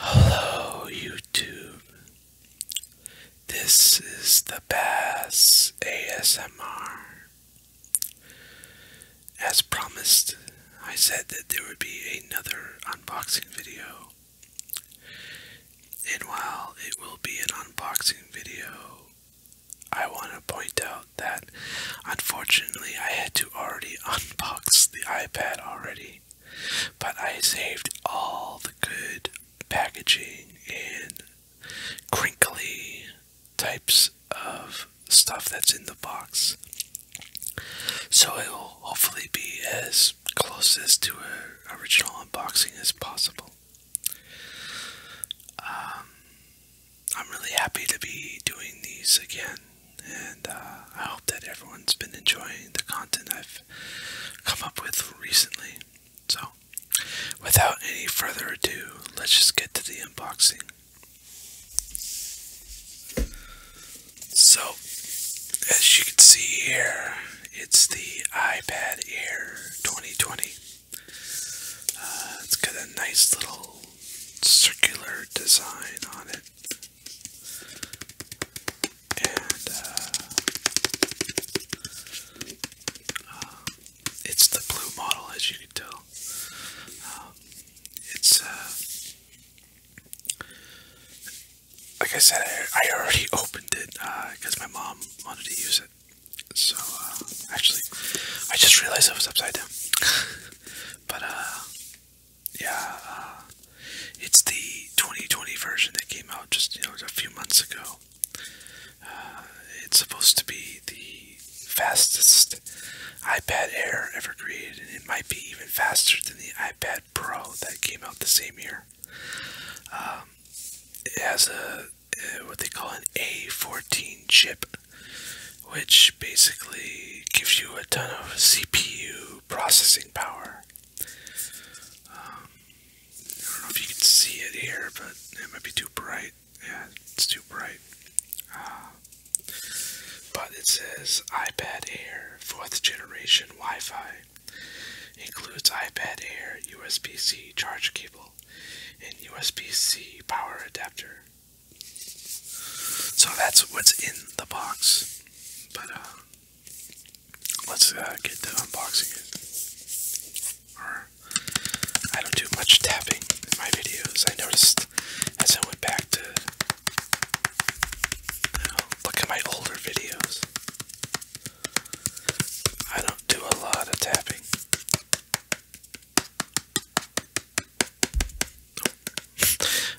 Hello, YouTube. This is the Bass ASMR. As promised, I said that there would be another unboxing video. And while it will be an unboxing video, I want to point out that unfortunately I had to already unbox the iPad already. But I saved all the good packaging and crinkly types of stuff that's in the box. So it will hopefully be as close as to an original unboxing as possible. Um, I'm really happy to be doing these again, and uh, I hope that everyone's been enjoying the content I've come up with recently. So, without any further ado, let's just get to the unboxing. So, as you can see here, it's the iPad Air 2020. Uh, it's got a nice little circular design on it. And uh, um, it's the blue model, as you can tell. Um, it's, uh, like I said, I, already opened it because uh, my mom wanted to use it. So, uh, actually, I just realized I was upside down. But uh, yeah, uh, it's the 2020 version that came out just you know a few months ago. Uh, it's supposed to be the fastest iPad Air ever created, and it might be even faster than the iPad Pro that came out the same year. Um, it has a what they call an A14 chip which basically gives you a ton of CPU processing power. Um, I don't know if you can see it here, but it might be too bright. Yeah, it's too bright. Uh, but it says iPad Air 4th generation Wi Fi. Includes iPad Air USB C charge cable and USB C power adapter. So that's what's in the box. But uh, let's uh, get to unboxing it. I don't do much tapping in my videos. I noticed as I went back to look at my older videos. I don't do a lot of tapping.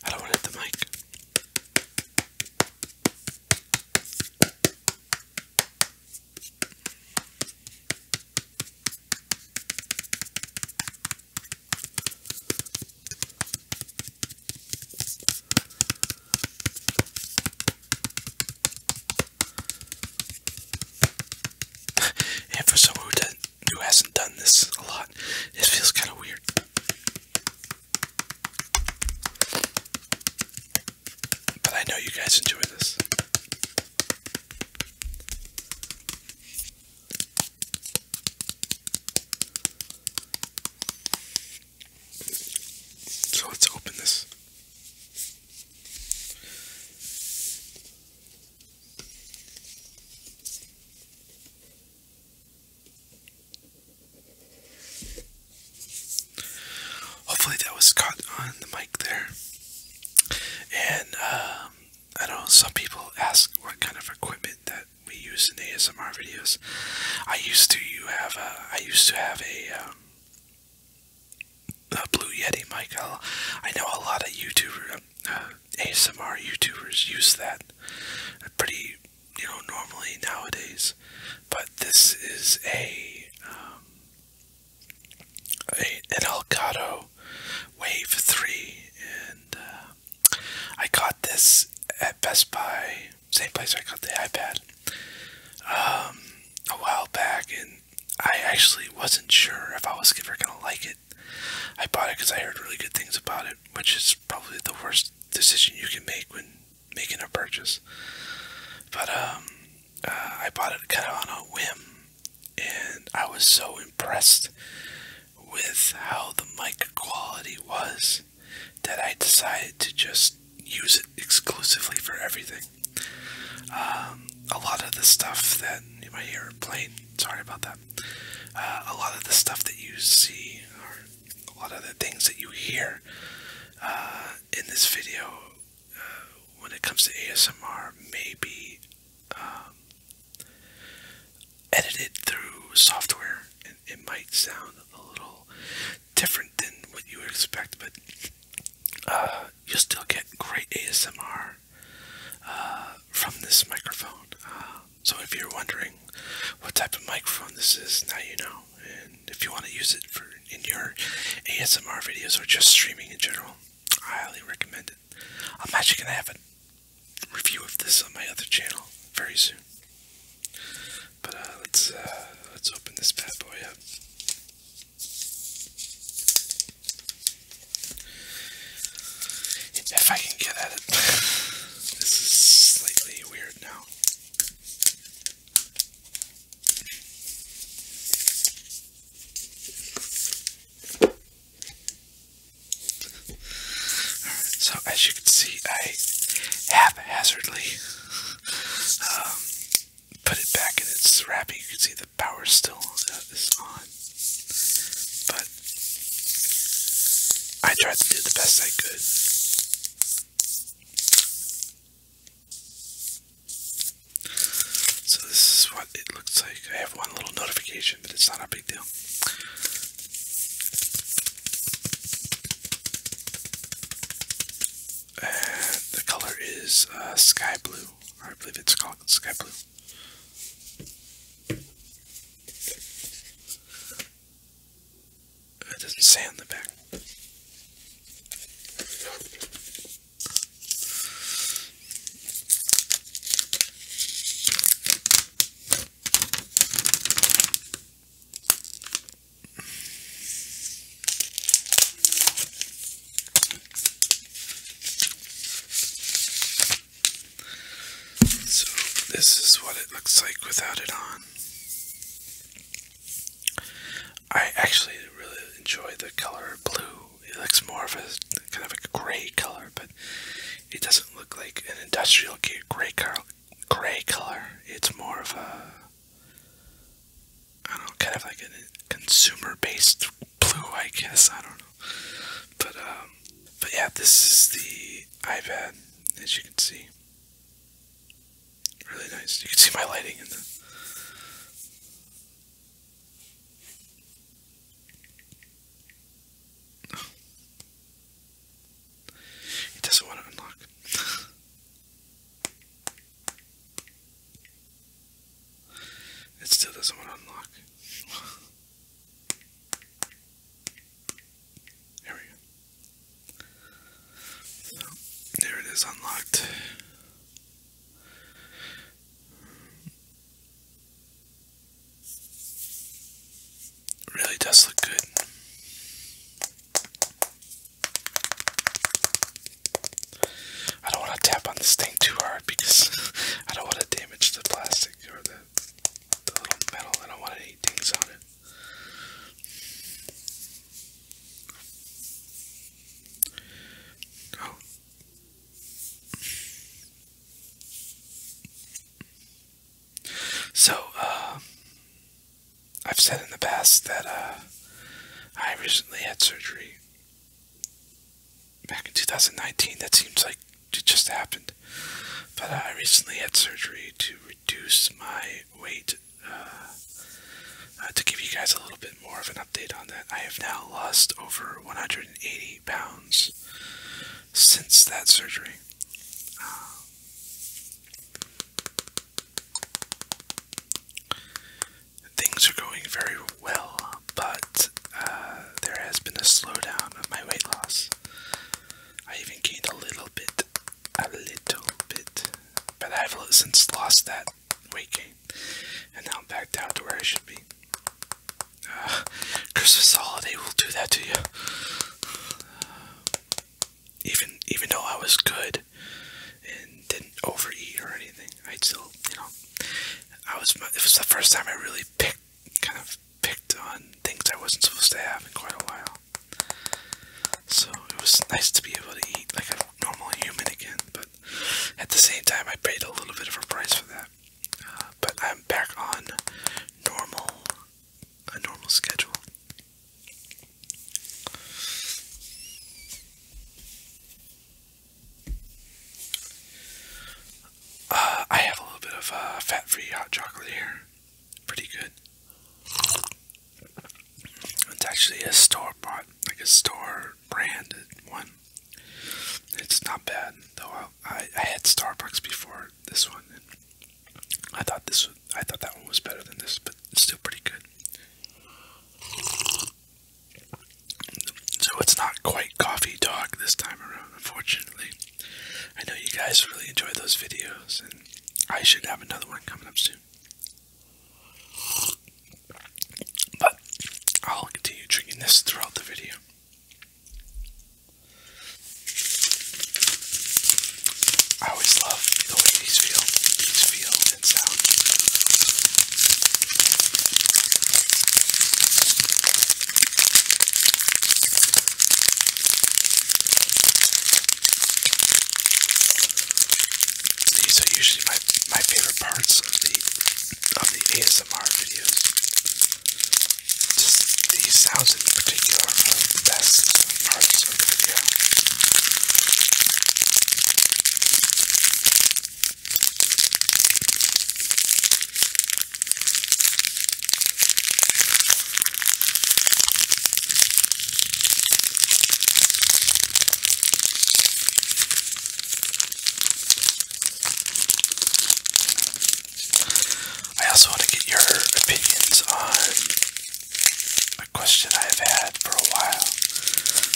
I don't want to hit the mic. and for someone who, who hasn't done this a lot, it feels kind of weird. But I know you guys enjoy this. So let's open this. Hopefully that was caught on the mic there. And um, I know some people ask what kind of equipment that we use in ASMR videos. I used to you have a I used to have a um, uh, Blue Yeti mic. i know a lot of YouTubers, uh, ASMR YouTubers use that. Pretty, you know, normally nowadays. But this is a, um, an Elgato Wave 3, and uh, I got this at Best Buy, same place I got the iPad, um, a while back, and I actually wasn't sure if I was ever gonna like it. I bought it because I heard really good things about it, which is probably the worst decision you can make when making a purchase. But um, uh, I bought it kind of on a whim, and I was so impressed with how the mic quality was that I decided to just use it exclusively for everything. Um, a lot of the stuff that you might hear playing, sorry about that. Uh, a lot of the stuff that you see, or a lot of the things that you hear uh, in this video, uh, when it comes to ASMR, may be um, edited through software. and it might sound a little different than what you would expect, but you'll still get great ASMR uh, from this microphone. Uh, so if you're wondering what type of microphone this is, now you know. And if you want to use it for in your ASMR videos or just streaming in general, I highly recommend it. I'm actually gonna have a review of this on my other channel very soon. But uh, let's let's open this bad boy up. If I can get at it. this is slightly weird now. so as you can see, I haphazardly um, put it back and its wrapping. You can see the power still is on. But I tried to do the best I could. So this is what it looks like. I have one little notification, but it's not a big deal the color is uh, sky blue, I believe it's called sky blue. It doesn't say on the back. So, this is what it looks like without it on. I actually really enjoy the color blue. It looks more of a kind of a gray color, but it doesn't look like an industrial gray, gray color. It's more of a I don't kind of like a consumer-based blue, I guess. I don't know, but um, but yeah, this is the iPad, as you can see. Really nice. You can see my lighting in the. It doesn't want to unlock. It still doesn't want to unlock. There we go. there it is unlocked. Really does look good. I don't want to tap on this thing too hard because I don't want to damage the plastic or the, the little metal. I don't want any things on it. Oh. So, uh, I've said in the past that uh, I recently had surgery back in 2019. That seems like it just happened. But uh, I recently had surgery to reduce my weight. Uh, to give you guys a little bit more of an update on that, I have now lost over 180 pounds since that surgery. Things are going very well, but uh, there has been a slowdown of my weight loss. I even gained a little bit, a little bit, but I've since lost that weight gain, and now I'm back down to where I should be. Uh, Christmas holiday will do that to you even even though I was good and didn't overeat or anything, I still, you know, I was. It was the first time I really picked, kind of picked on things I wasn't supposed to have in quite a while. So it was nice to be able to eat like a normal human again, but at the same time, I paid a little bit of a price for that. Uh, but I'm back on normal, a normal schedule. Uh, I have a little bit of uh, fat-free hot chocolate here. Pretty good. It's actually a store bought, like a store branded one. It's not bad though. I, had Starbucks before this one, I thought this I thought that one was better than this, but it's still pretty good. So it's not quite coffee talk this time around, unfortunately. I know you guys really enjoy those videos, and I should have another one coming up soon. But I'll continue drinking this throughout the video. I always love the way these feel, these feel and sound. These are usually my my favorite parts of the of the ASMR videos. Just these sounds in particular are the best parts. I also want to get your opinions on question I've had for a while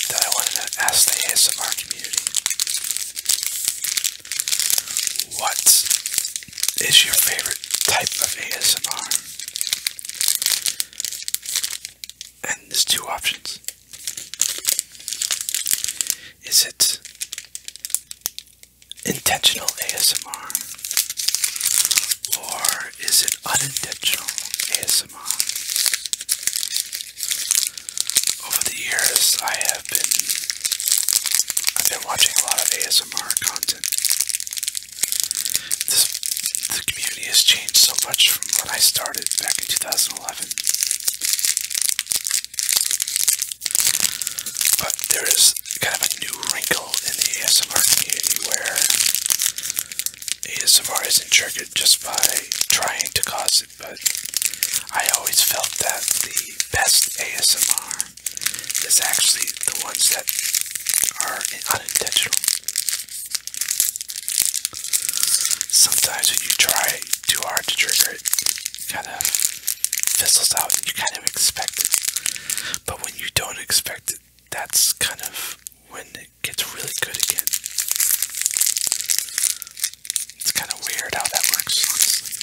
that I wanted to ask the ASMR community. What is your favorite type of ASMR? And there's two options. Is it intentional ASMR? Or is it unintentional ASMR? Over the years, I have been I've been watching a lot of ASMR content. the community has changed so much from when I started back in 2011. But there is kind of a new wrinkle in the ASMR community where ASMR isn't triggered just by trying to cause it, but I always felt that the best ASMR is actually the ones that are unintentional. Sometimes when you try too hard to trigger it, kind of fizzles out and you kind of expect it. But when you don't expect it that's kind of when it gets really good again. It's kind of weird how that works, honestly.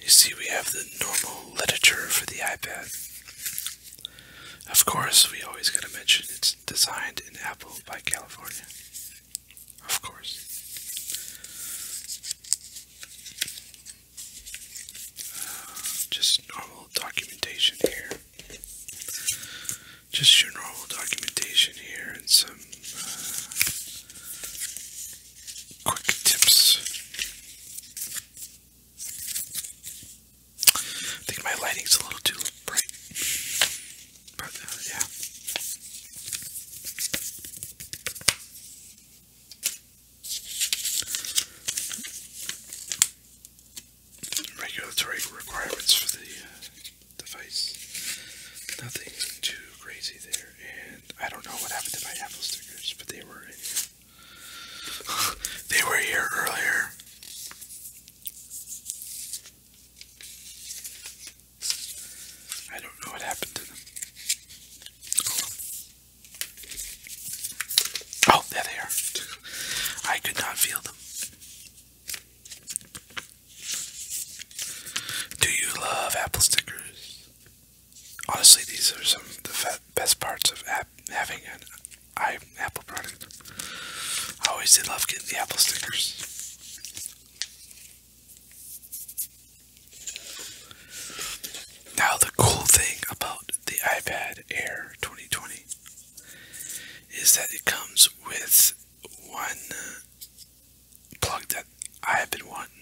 You see, we have the normal literature for the iPad. Of course, we always gotta mention it's designed in Apple by California. Of course. just normal documentation here. Just your normal documentation here and some uh, quick tips. I think my lighting's a little too bright. But yeah. Regulatory requirements for the uh, device. Nothing too crazy there, and I don't know what happened to my Apple stickers, but they were they were here earlier. I don't know what happened to them. Oh, there they are. I could not feel them. Do you love apple stickers? Honestly, these are some of the best parts of having an I Apple product. I always did love getting the Apple stickers. Now, the cool thing about the iPad Air 2020 is that it comes with one plug that I've been wanting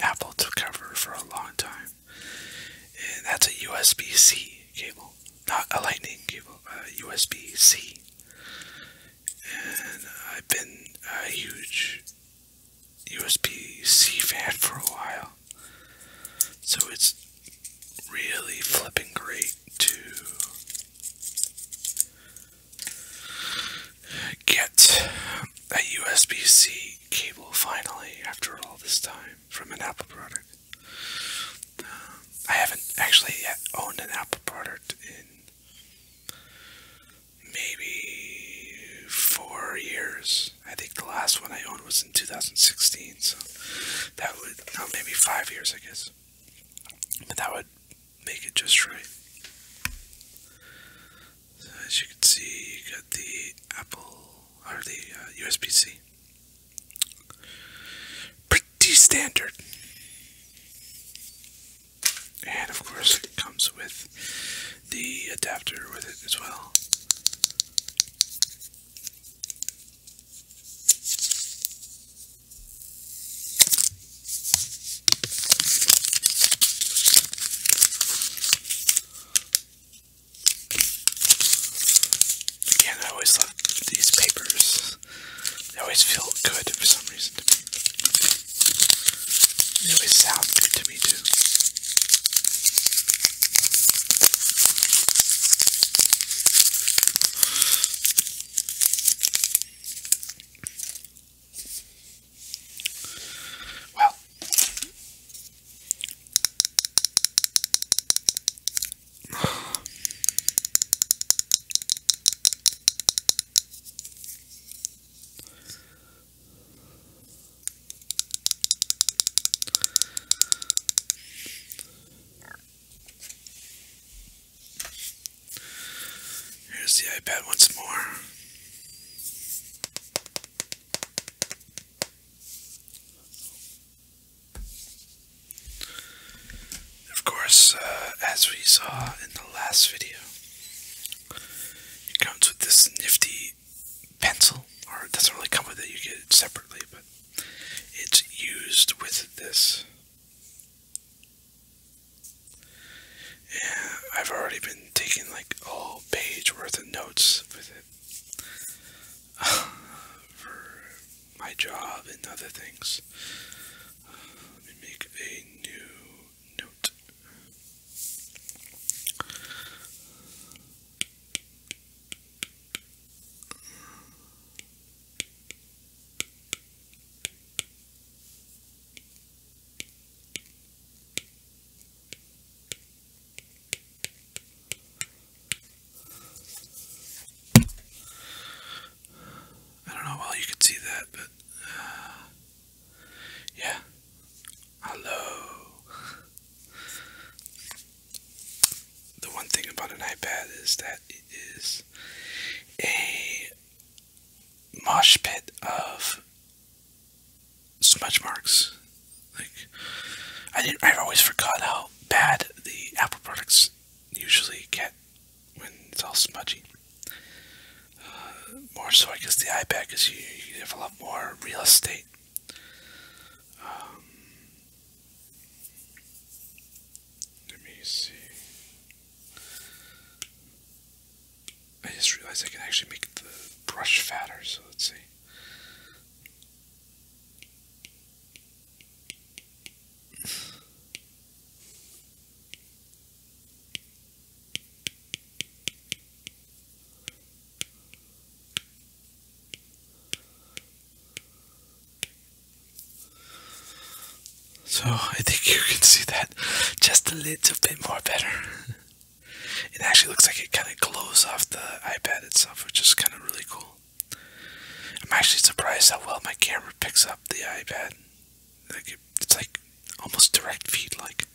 Apple to cover for a long time, and that's a USB C cable, not a Lightning cable, a USB C and I've been a huge USB-C fan for a while, so it's really flipping great to get a USB-C cable finally after all this time from an Apple product. Um, I haven't actually yet owned an Apple product in maybe four years. I think the last one I owned was in 2016, so that would, no, maybe five years, I guess. But that would make it just right. as you can see, you got the Apple, or the uh, USB-C. D-standard. And of course it comes with the adapter with it as well. Again, I always love these papers. They always feel good for some reason to me. They always sound good to me too. Well, Here's the iPad once more. Of course, uh, as we saw in the last video, it comes with this nifty pencil, or it doesn't really come with it, you get it separately, but it's used with this. Yeah, I've already been taking like a page worth of notes with it. my job and other things. let me make a new note. I don't know well you can see that, but uh, yeah. Hello. The one thing about an iPad is that it is a mosh pit of smudge marks. Like I I always forgot how bad the Apple products usually get when it's all smudgy. Uh, more so, I guess the iPad is you, you have a lot more real estate. Um, let me see. I just realized I can actually make the brush fatter, so let's see. So I think you can see that just a little bit more better. it actually looks like it kind of glows off the iPad itself, which is kind of really cool. I'm actually surprised how well my camera picks up the iPad. Like it's like almost direct feed. Like,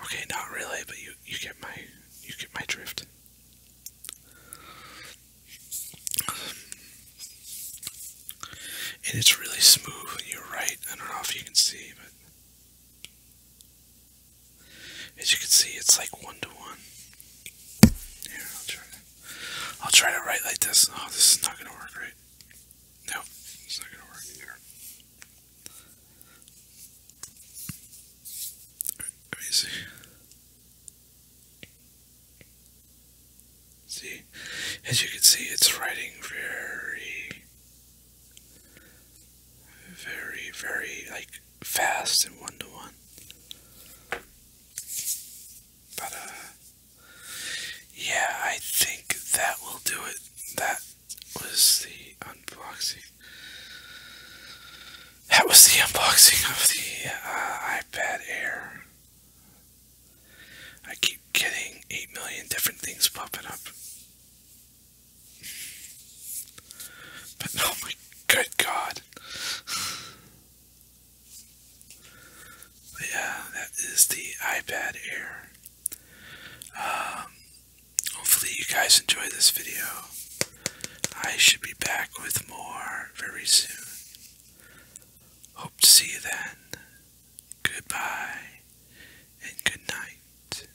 okay, not really, but you you get my you get my drift. And it's really smooth. You're right. I don't know if you can see, but as you can see, it's like one to one. Here, I'll try. I'll try to write like this. Oh, this is not gonna work, right? Nope, it's not gonna work here. See, as you can see, it's writing very, very, very like fast and one to one. But, uh, yeah, I think that will do it. That was the unboxing. That was the unboxing of the uh, iPad Air. I keep getting 8 million different things popping up. But oh my good God yeah, that is the iPad Air. Um, hopefully, you guys enjoy this video. I should be back with more very soon. Hope to see you then. Goodbye and good night.